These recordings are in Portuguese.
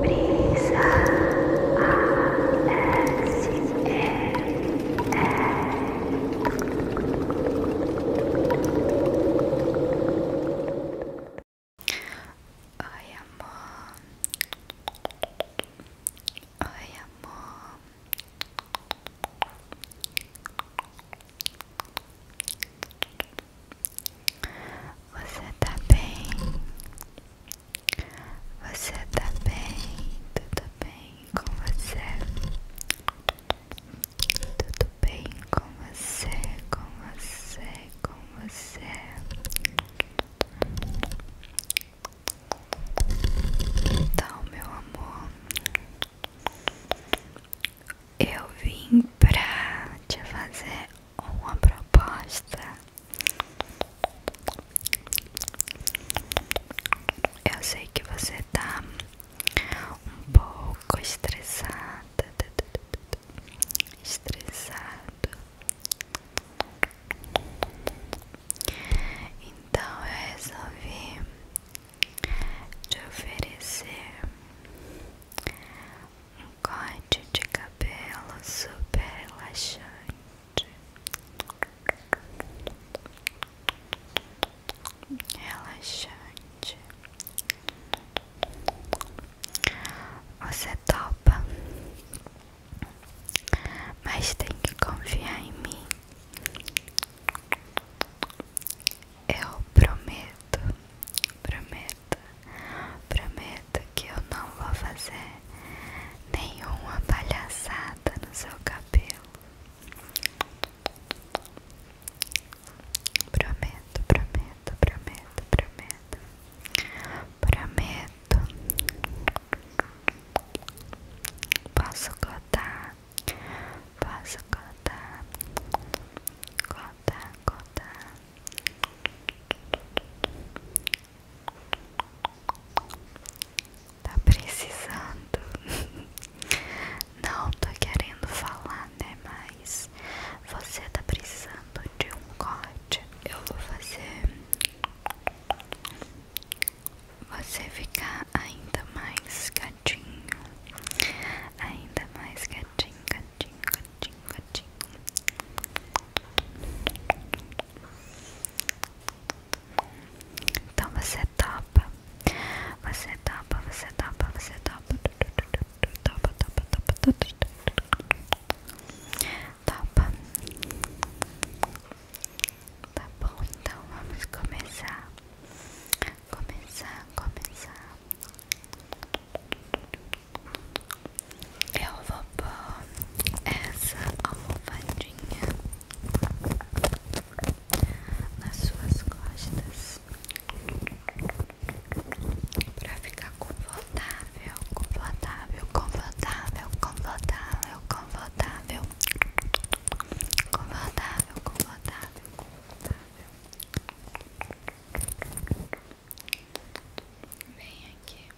Brisa Oi, amor. Oi, amor. Você tá bem? Você tá bem? Tudo bem com você? Tudo bem com você? Com você? Com você? Então, meu amor, eu vim pra te fazer uma proposta. Eu sei que você tá um pouco estressada, estressado. Então eu resolvi te oferecer um pacote de cabelo super relaxante. Relaxante. Você topa, mas tem que confiar em mim. Eu prometo, prometo prometo que eu não vou fazer nenhuma palhaçada no seu cabelo. Prometo, prometo, prometo, prometo. Prometo. Posso cortar Posso cortar cortar cortar Tá precisando? Não tô querendo falar, né? Mas você tá precisando de um corte. Eu vou fazer você ficar ainda mais gatinho, ainda mais gatinho, gatinho, gatinho gatinho. Então você topa, você topa, você topa, você topa, topa, topa, topa, topa, topa. Tá bom, então vamos começar, começar, começar. Eu vou pôr essa almofadinha nas suas costas pra ficar confortável, confortável, confortável, confortável, confortável, confortável, confortável, confortável. Vem aqui.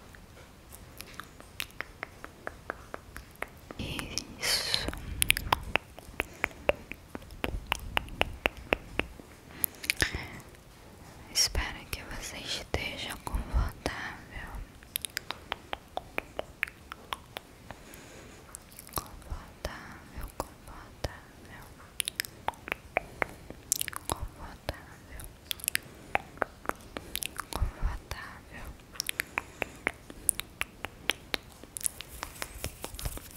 Isso. Espero que você esteja confortável. Confortável, confortável confortável, confortável.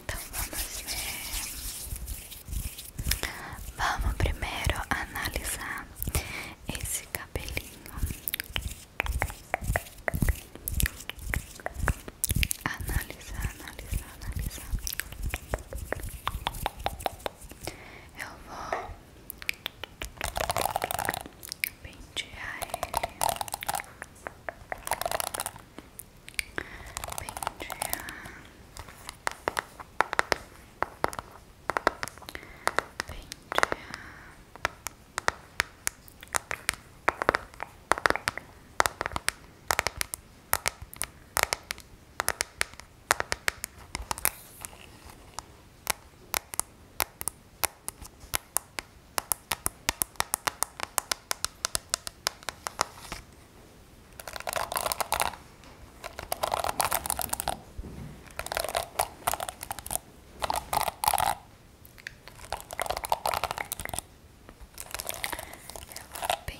Então vamos ver. Né? Vamos primeiro analisar esse cabelinho. Analisar, analisar, analisar. Eu vou pentear ele, pentear, pentear. Ela é bem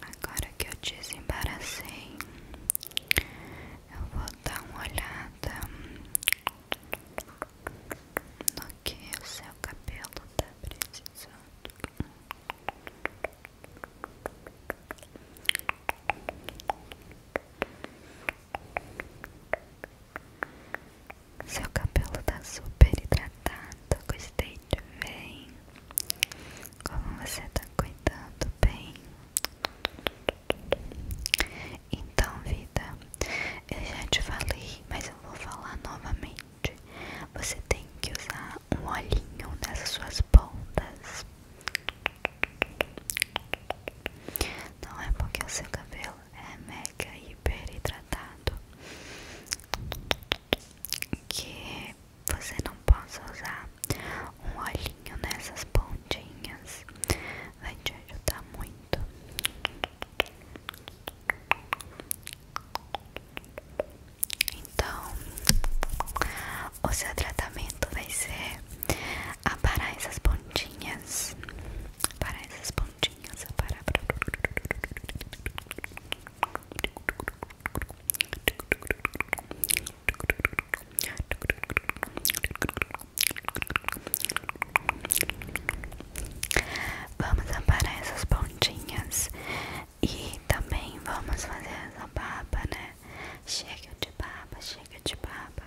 Agora que eu desembaracei, eu vou dar uma olhada no que o seu cabelo tá precisando. Seu cabelo tá super hidratado, gostei de ver. Como você tá cuidando bem? Então, vida, eu já te falei, mas eu vou falar novamente. Você tem que usar um olhinho nessas suas pontas. Não é porque o seu cabelo é mega hiper hidratado que você não possa usar um olhinho nessas pontinhas, vai te ajudar muito. Então, o seu tratamento vai ser aparar essas pontinhas, aparar essas pontinhas, aparar. Vamos aparar essas pontinhas e também vamos fazer essa baba, né? Chega de baba, chega de baba.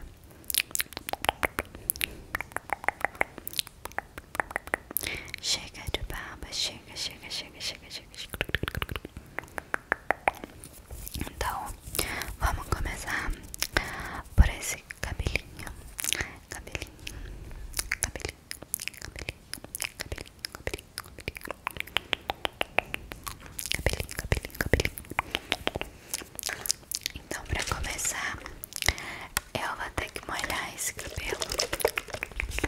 Chega de baba, chega, chega, chega, chega, então, vamos começar por esse cabelinho. Cabelinho, cabelinho, cabelinho, cabelinho, cabelinho, Então, pra começar, eu vou ter que molhar esse cabelo.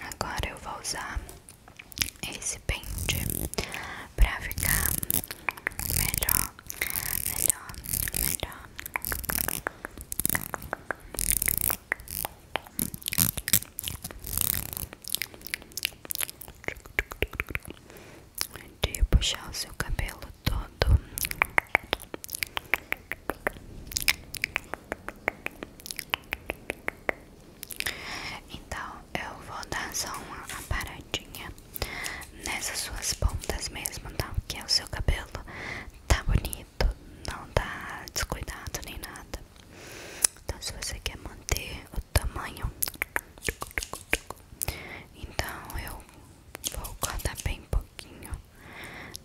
Agora eu vou usar esse pente para ficar melhor melhor, melhor. De puxar o seu cabelo todo. Então eu vou dar só uma paradinha nessas suas pontas mesmo, tá? Que é o seu cabelo tá bonito, não tá descuidado nem nada. Então, se você quer manter o tamanho, então eu vou cortar bem pouquinho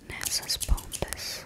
nessas pontas.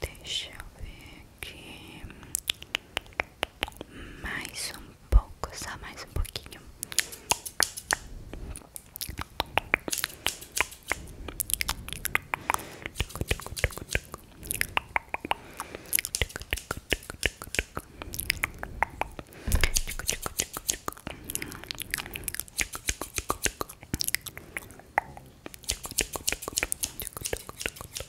Deixa eu ver aqui. Mais um pouco, só mais um pouquinho. Tic, tic, tic, tic, tic, tic, tic, tic, tic, tic, tic, tic, tic, tic,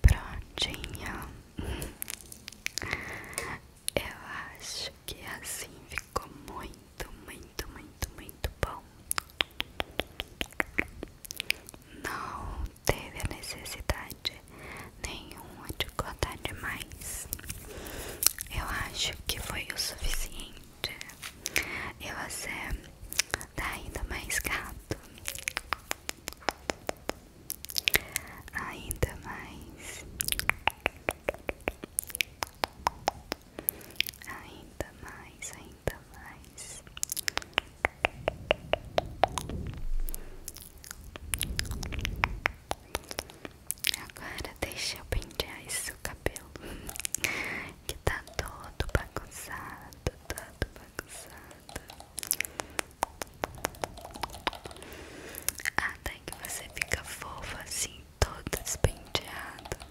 Prontinha. Eu acho que é assim ficou muito, muito, muito, muito bom. Não teve a necessidade nenhuma de cortar demais. Eu acho que foi o suficiente. E você tá ainda mais gato, ainda mais, ainda mais, ainda mais. Agora deixa eu pentear esse seu cabelo que tá todo bagunçado, todo bagunçado. Até que você fica fofo assim, todo despenteado.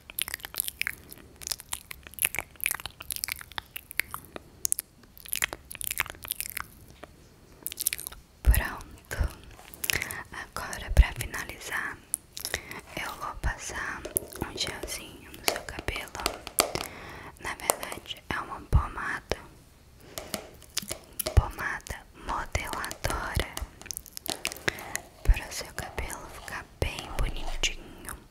Pronto, agora para finalizar, eu vou passar um gelzinho no seu cabelo. Na verdade, é uma pomada, pomada modeladora, para o seu cabelo ficar bem bonitinho.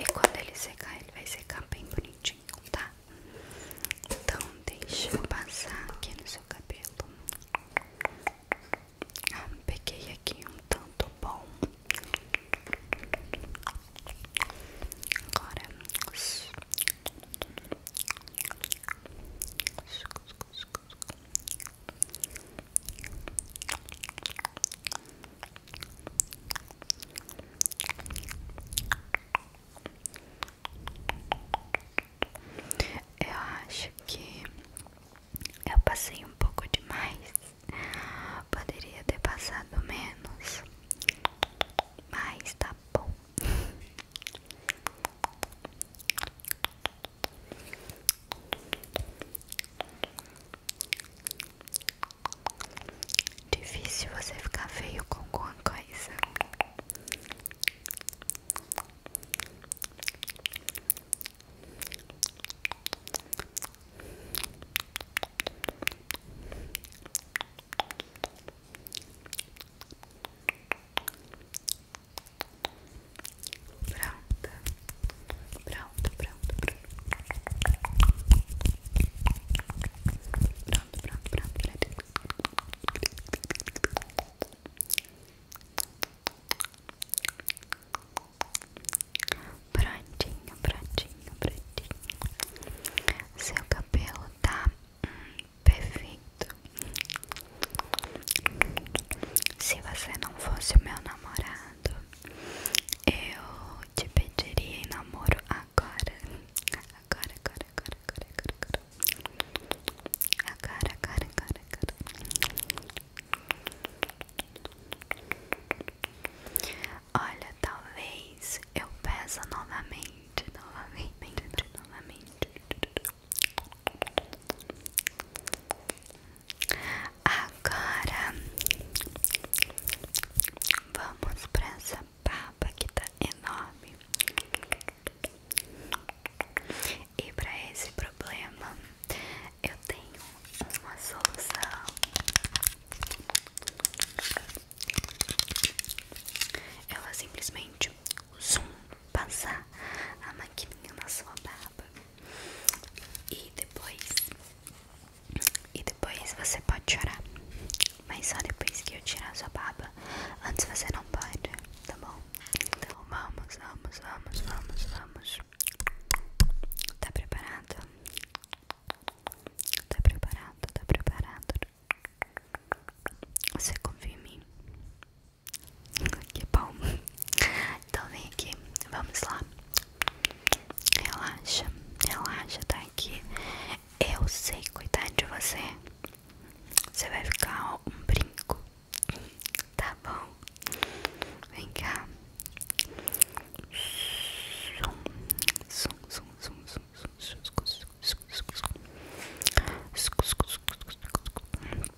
E quando ele secar, ele vai secar bem bonitinho, tá? Então, deixa eu passar aqui no seu cabelo. Ah, peguei aqui um tanto bom. Agora. Eu acho que eu passei um pouco demais. Poderia ter passado menos, mas tá bom. Difícil você ficar feio com alguma coisa. Pronto, pronto, pronto, pronto. Pronto, pronto, pronto, Prontinho, prontinho, prontinho. Seu cabelo tá hum, perfeito. Se você não fosse o meu namorado, eu te pediria em namoro agora. Agora, agora, agora, agora, agora, agora. Agora, agora, Olha, talvez eu peça novamente, novamente, novamente. Agora vamos para essa papa que tá enorme e para esse problema eu tenho uma solução. Ela simplesmente zoom, passar a maquininha na sua barba e depois. E depois você pode chorar. Mas só depois que eu tirar sua baba. Antes você não pode, tá bom? Então vamos, vamos, vamos, vamos, vamos. Tá preparado? Tá preparado, tá preparado. Você confia em mim? Que bom. Então vem aqui, vamos lá. Relaxa, relaxa, tá aqui. Eu sei cuidar de você. Você vai ficar um brinco. Tá bom. Vem cá.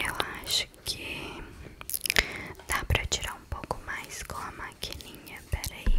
Eu acho que dá para tirar um pouco mais com a maquininha, aí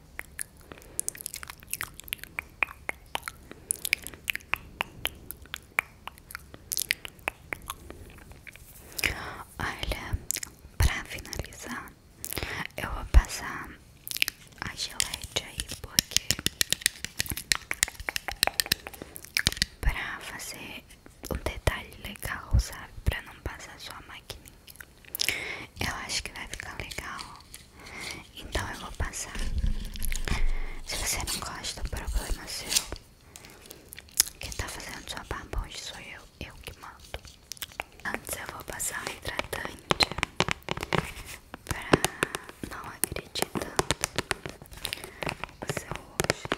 Olha, pra finalizar, eu vou passar a gelete aí, porque pra fazer um detalhe legal, sabe? Pra não passar só a maquininha. Eu acho que vai ficar legal. Então eu vou passar. Se você não gosta, o problema é seu. Quem tá fazendo sua barba sou eu, eu que mando. Antes eu vou passar o hidratante para não agredir tanto o seu rosto.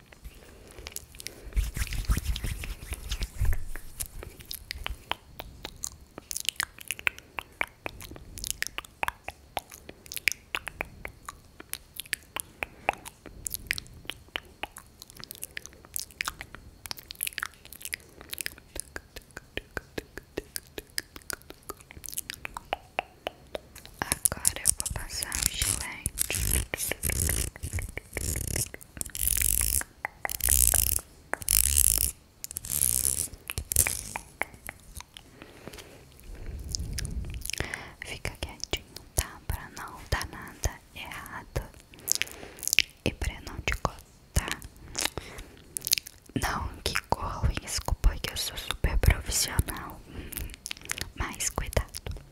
Agora eu vou passar o um Fica quietinho, tá? Pra não dar nada errado e pra não te cortar. Não, que corro, desculpa que eu sou super profissional, mas cuidado.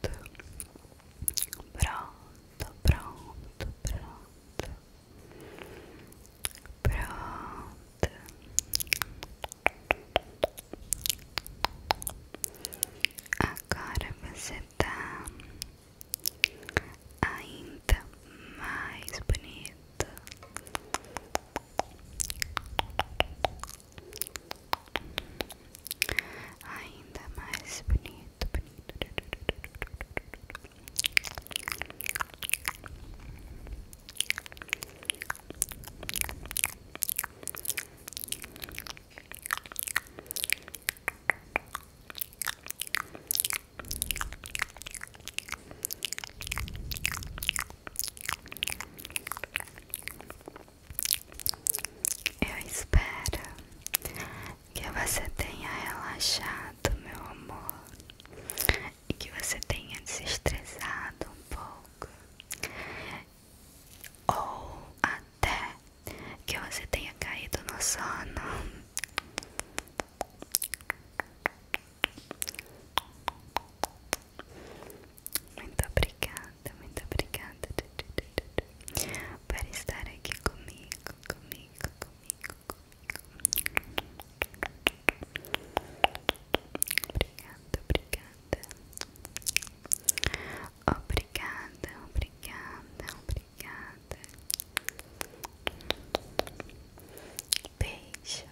pronto, pronto, pronto, pronto. Agora você tá ainda mais bonito ainda mais bonito, bonito. Eu espero que você tenha relaxado, meu amor, e que você tenha desestressado um pouco, ou até que você tenha caído no sono. Muito obrigada, muito obrigada para estar aqui comigo, comigo, comigo, comigo. Obrigada, obrigada. Obrigada, obrigada, obrigada. Beijo.